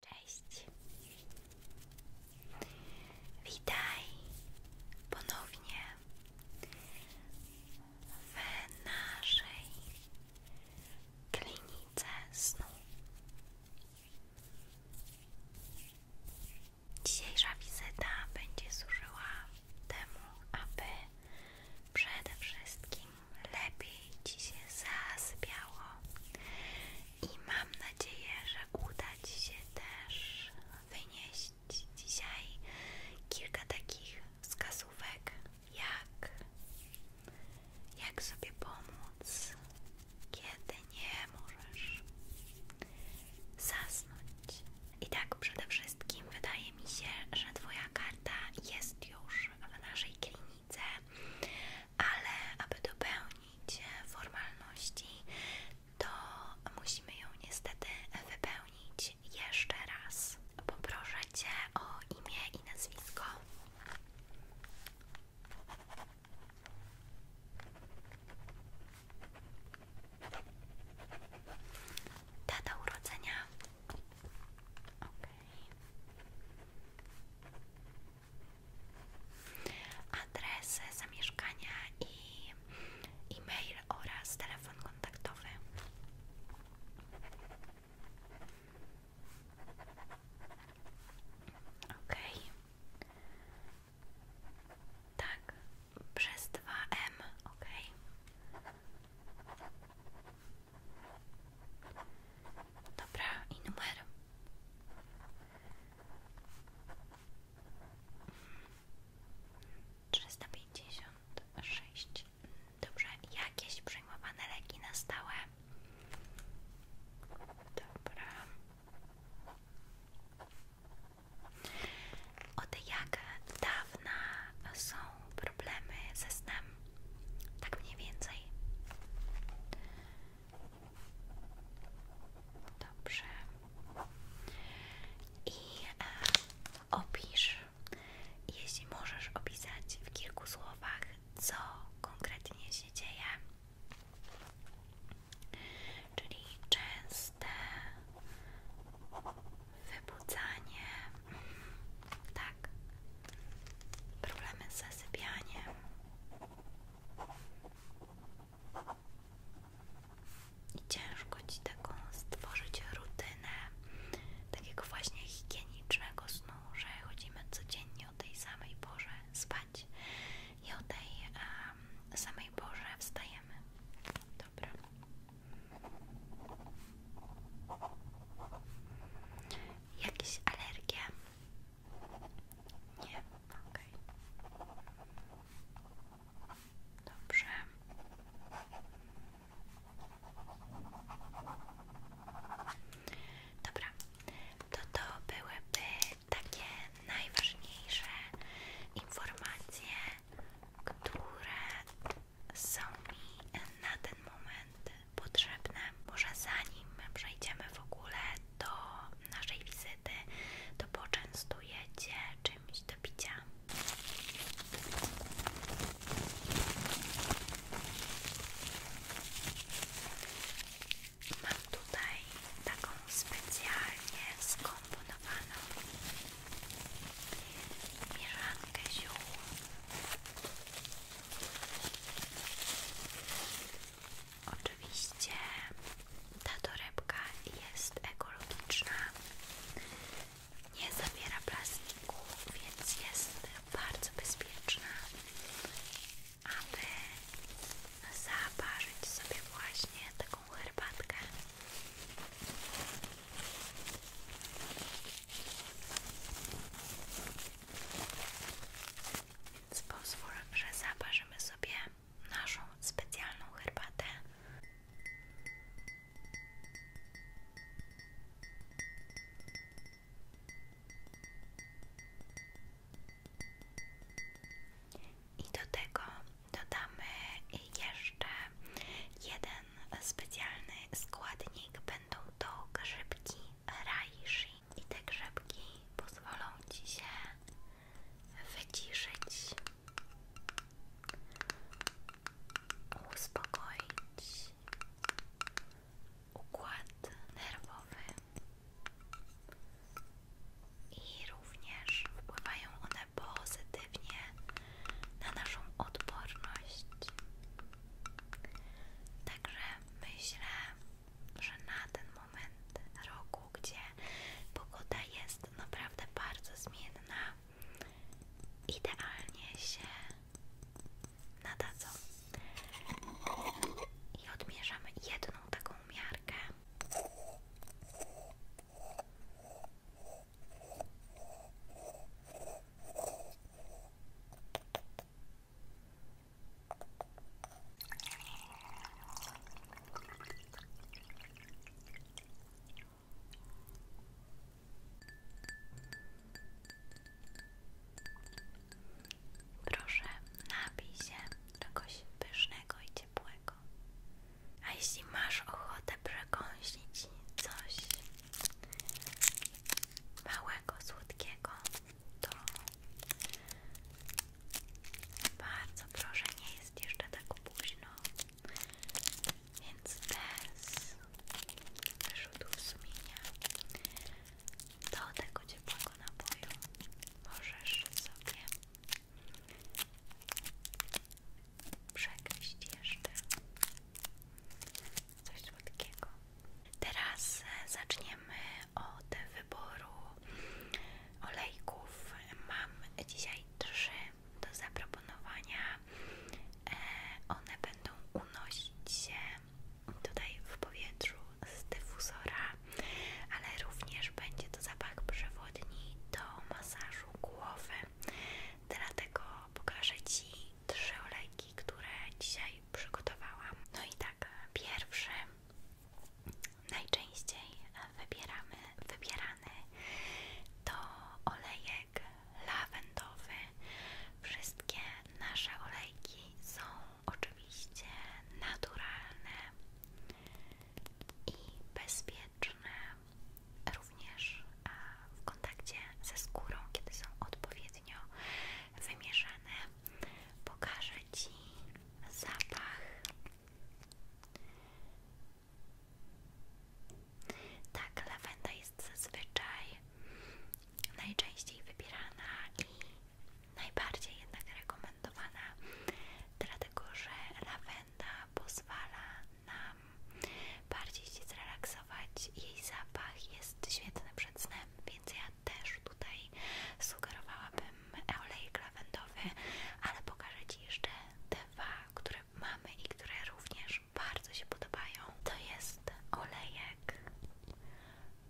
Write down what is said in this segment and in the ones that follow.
Cześć. Witaj ponownie w naszej klinice snu. Dzisiejsza wizyta będzie służyła temu, aby przede wszystkim lepiej Ci się zasypiało i mam nadzieję, że uda Ci się też wynieść dzisiaj kilka takich wskazówek, jak, jak sobie pomóc, kiedy nie możesz zasnąć. I tak przede wszystkim wydaje mi się, że Twoja karta jest już w naszej klinice ale aby dopełnić e, formalności, to musimy ją niestety wypełnić jeszcze raz. Poproszę Cię o imię i nazwisko. Data urodzenia adres zamieszkania i e-mail oraz telefon kontaktowy. Ok. Tak, przez dwa m ok. Dobra, numer. Trzysta pięćdziesiąt sześć. Dobrze, jakieś przejmowane leki na stałe. Dobra. Od jak dawna są problemy ze snem? Tak mniej więcej. Dobrze. I e, opisz, jeśli możesz opisać w kilku słowach, co konkretnie się dzieje. Czyli częste wybudzanie, tak, problemy z zasypianiem, i ciężko ci taką stworzyć rutynę takiego właśnie higienicznego snu, że chodzimy codziennie o tej samej porze spać i o tej samej porze wstajemy. Dobra. Jakieś alergie? Nie, okej. Dobrze. Dobra, to to byłyby takie najważniejsze informacje, które są mi na ten moment potrzebne. Może zanim przejdziemy w ogóle do naszej wizyty, to poczęstuję Cię czymś do picia. Mam tutaj taką specjalnie skomponowaną mieszankę ziół. Oczywiście ta torebka jest ekologiczna, nie zawiera plastiku, więc jest bardzo bezpieczna, aby zaparzyć sobie właśnie taką herbatkę z pozwól, że zaparzymy sobie naszą specjalną herbatę. I do tego dodamy jeszcze jeden specjalny składnik. Będą to grzybki raishi. I te grzybki pozwolą Ci się wyciszyć, uspokoić układ nerwowy i również wpływają one pozytywnie na naszą odporność. Także myślę, że na ten moment roku, gdzie pogoda jest naprawdę bardzo zmienna, idealnie się nadadzą. I odmierzamy jedną taką miarkę. Proszę, napij się pysznego i ciepłego. A jeśli masz ochotę przekąśnić coś małego, słodkiego, to bardzo proszę, nie jest jeszcze tak późno, więc bez wyrzutów sumienia do tego ciepłego napoju możesz sobie przegryźć jeszcze coś słodkiego. Teraz e, zaczniemy od wyboru olejków mam dzisiaj trzy do zaproponowania. E, one będą unosić się tutaj w powietrzu z dyfuzora, ale również będzie to zapach przewodni do masażu głowy. Dlatego pokażę Ci trzy olejki, które dzisiaj przygotowałam. No i tak, pierwszy najczęściej wybieramy, wybierany to olejek lawendowy. Wszystkie nasze olejki są oczywiście naturalne i bezpieczne również w kontakcie ze skórą, kiedy są odpowiednio wymieszane Pokażę Ci zapach tak, lawenda jest zazwyczaj najczęściej wybierana i najbardziej jednak rekomendowana, dlatego że lawenda pozwala nam bardziej się zrelaksować. Jej zapach jest święty przed snem, więc ja też tutaj sugerowałabym olejek lawendowy, ale pokażę Ci jeszcze dwa, które mamy i które również bardzo się podobają. To jest olejek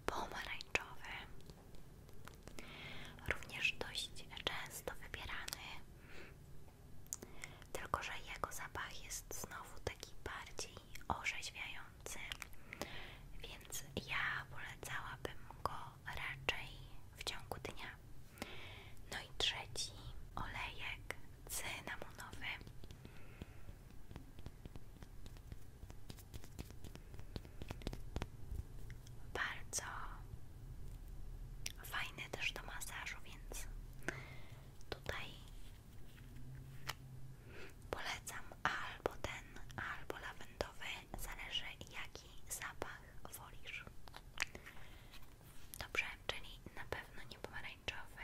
pomarańczowy, również dość często wybierany, tylko że jego zapach jest znowu taki bardziej orzeźwiający, więc ja polecałabym go raczej w ciągu dnia. No i trzeci olejek cynamonowy. Bardzo fajny też do masażu, więc tutaj polecam albo ten, albo lawendowy zależy jaki zapach wolisz. Dobrze, czyli na pewno nie pomarańczowy.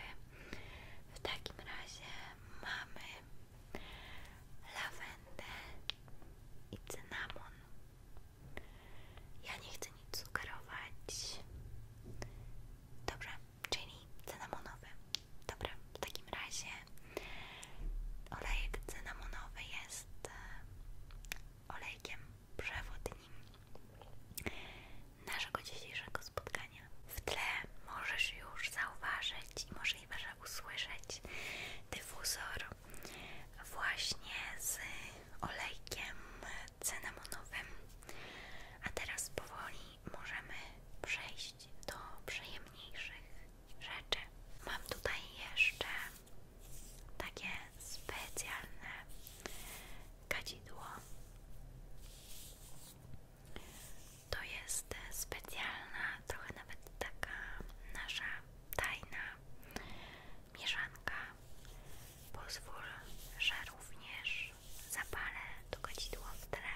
W takim razie mamy lawendę i cynamon. Ja nie chcę nic sugerować. Dobrze, czyli cynamonowy. Dobra, w takim razie olejek cynamonowy jest e, olejkiem przewodnim naszego dzisiejszego spotkania. W tle możesz już zauważyć i możesz że usłyszeć dyfuzor właśnie z olejkiem cynamonowym. A teraz powoli możemy przejść do przyjemniejszych rzeczy. Mam tutaj jeszcze takie specjalne kadzidło. To jest specjalna, trochę nawet taka nasza tajna mieszanka. Pozwól, że również zapalę to kadzidło w tle,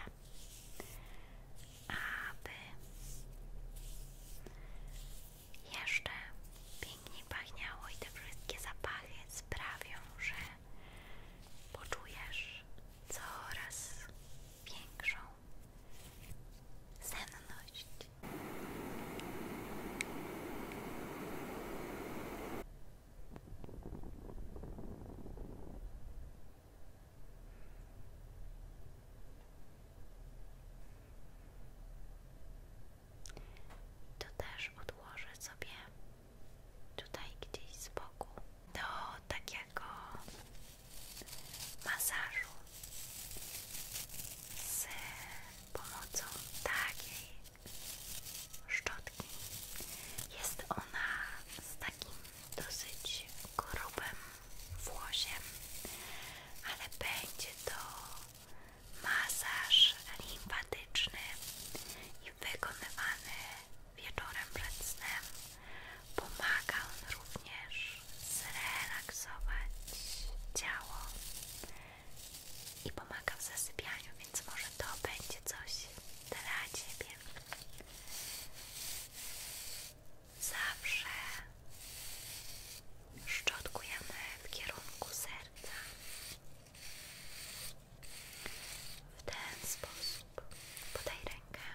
aby jeszcze pięknie pachniało i te wszystkie zapachy sprawią, że poczujesz coraz większą senność. To też odłożę sobie tutaj gdzieś z boku do takiego masażu z pomocą takiej szczotki. Jest ona z takim dosyć grubym włosiem, ale będzie to masaż limfatyczny i wykonywany wieczorem przed snem pomaga on również zrelaksować ciało i pomaga w zasypianiu, więc może to będzie coś dla Ciebie. Zawsze szczotkujemy w kierunku serca. W ten sposób podaj rękę.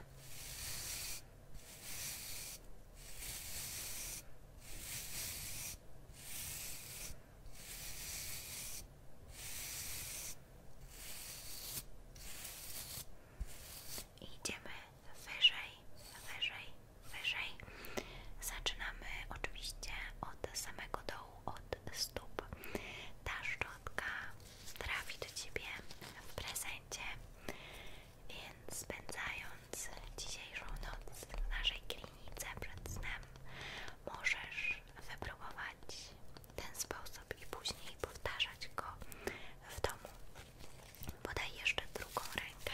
Idziemy wyżej, wyżej, wyżej. Zaczynamy oczywiście od samego dołu, od stóp. Ta szczotka trafi do Ciebie w prezencie, więc spędzając dzisiejszą noc w naszej klinice przed snem, możesz wypróbować ten sposób i później powtarzać go w domu. Podaj jeszcze drugą rękę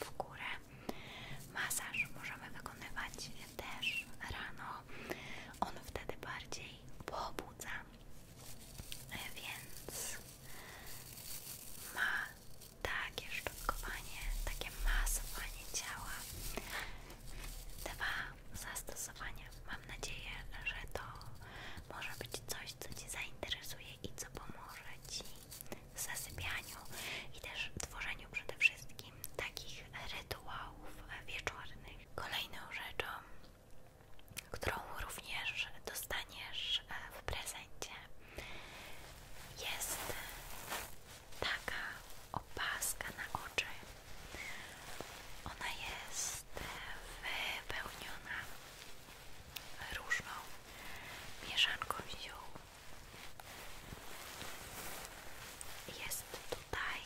w górę. Masaż możemy wykonywać też rano. On wtedy bardziej pobudza, e, więc ma takie szczotkowanie, takie masowanie ciała. Dwa zastosowania. Mam nadzieję, że to może być coś, co Ci zainteresuje i co pomoże Ci zasypianiu i też tworzeniu przede wszystkim takich rytuałów wieczornych. Kolejną rzeczą, którą również dostaniesz e, w prezencie, jest taka opaska na oczy. Ona jest wypełniona różną mieszanką ziół jest tutaj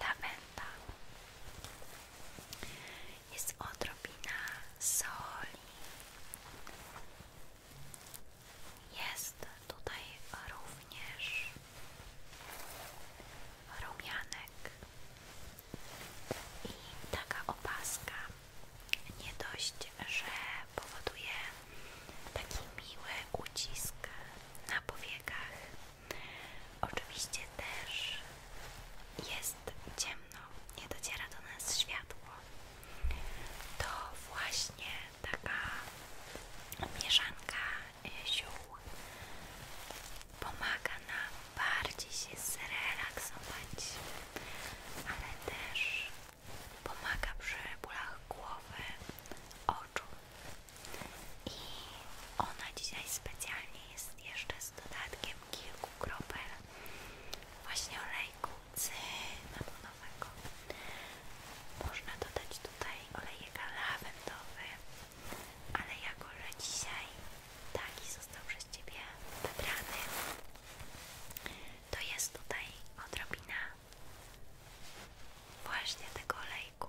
lawenda. Jest odrobina soli. Jest tutaj również rumianek i taka opaska nie dość że powoduje taki miły ucisk na powiekach. Oczywiście też jest ciemno, nie dociera do nas światło. To właśnie taka mieszanka ziół pomaga nam bardziej się zrelaksować, ale też Pomaga przy bólach głowy, oczu. I ona dzisiaj specjalnie jest jeszcze z dodatkiem kilku kropel właśnie olejku cynamonowego. Można dodać tutaj olejek lawendowy, ale jako, że dzisiaj taki został przez Ciebie wybrany, to jest tutaj odrobina właśnie tego lejku.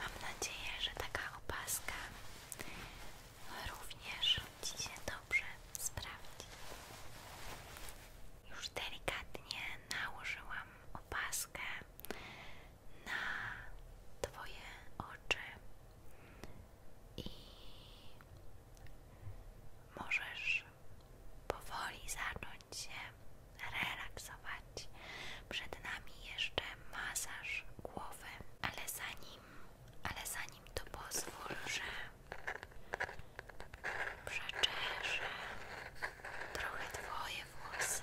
Mam nadzieję, że ta opaska również Ci dobrze sprawdzi. Już delikatnie nałożyłam opaskę na Twoje oczy i możesz powoli zacząć się relaksować. Przed nami jeszcze masaż głowy, ale zanim, ale zanim to pozwól, że przeczeszę trochę Twoje włosy.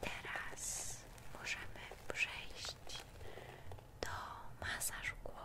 teraz możemy przejść do masażu głowy.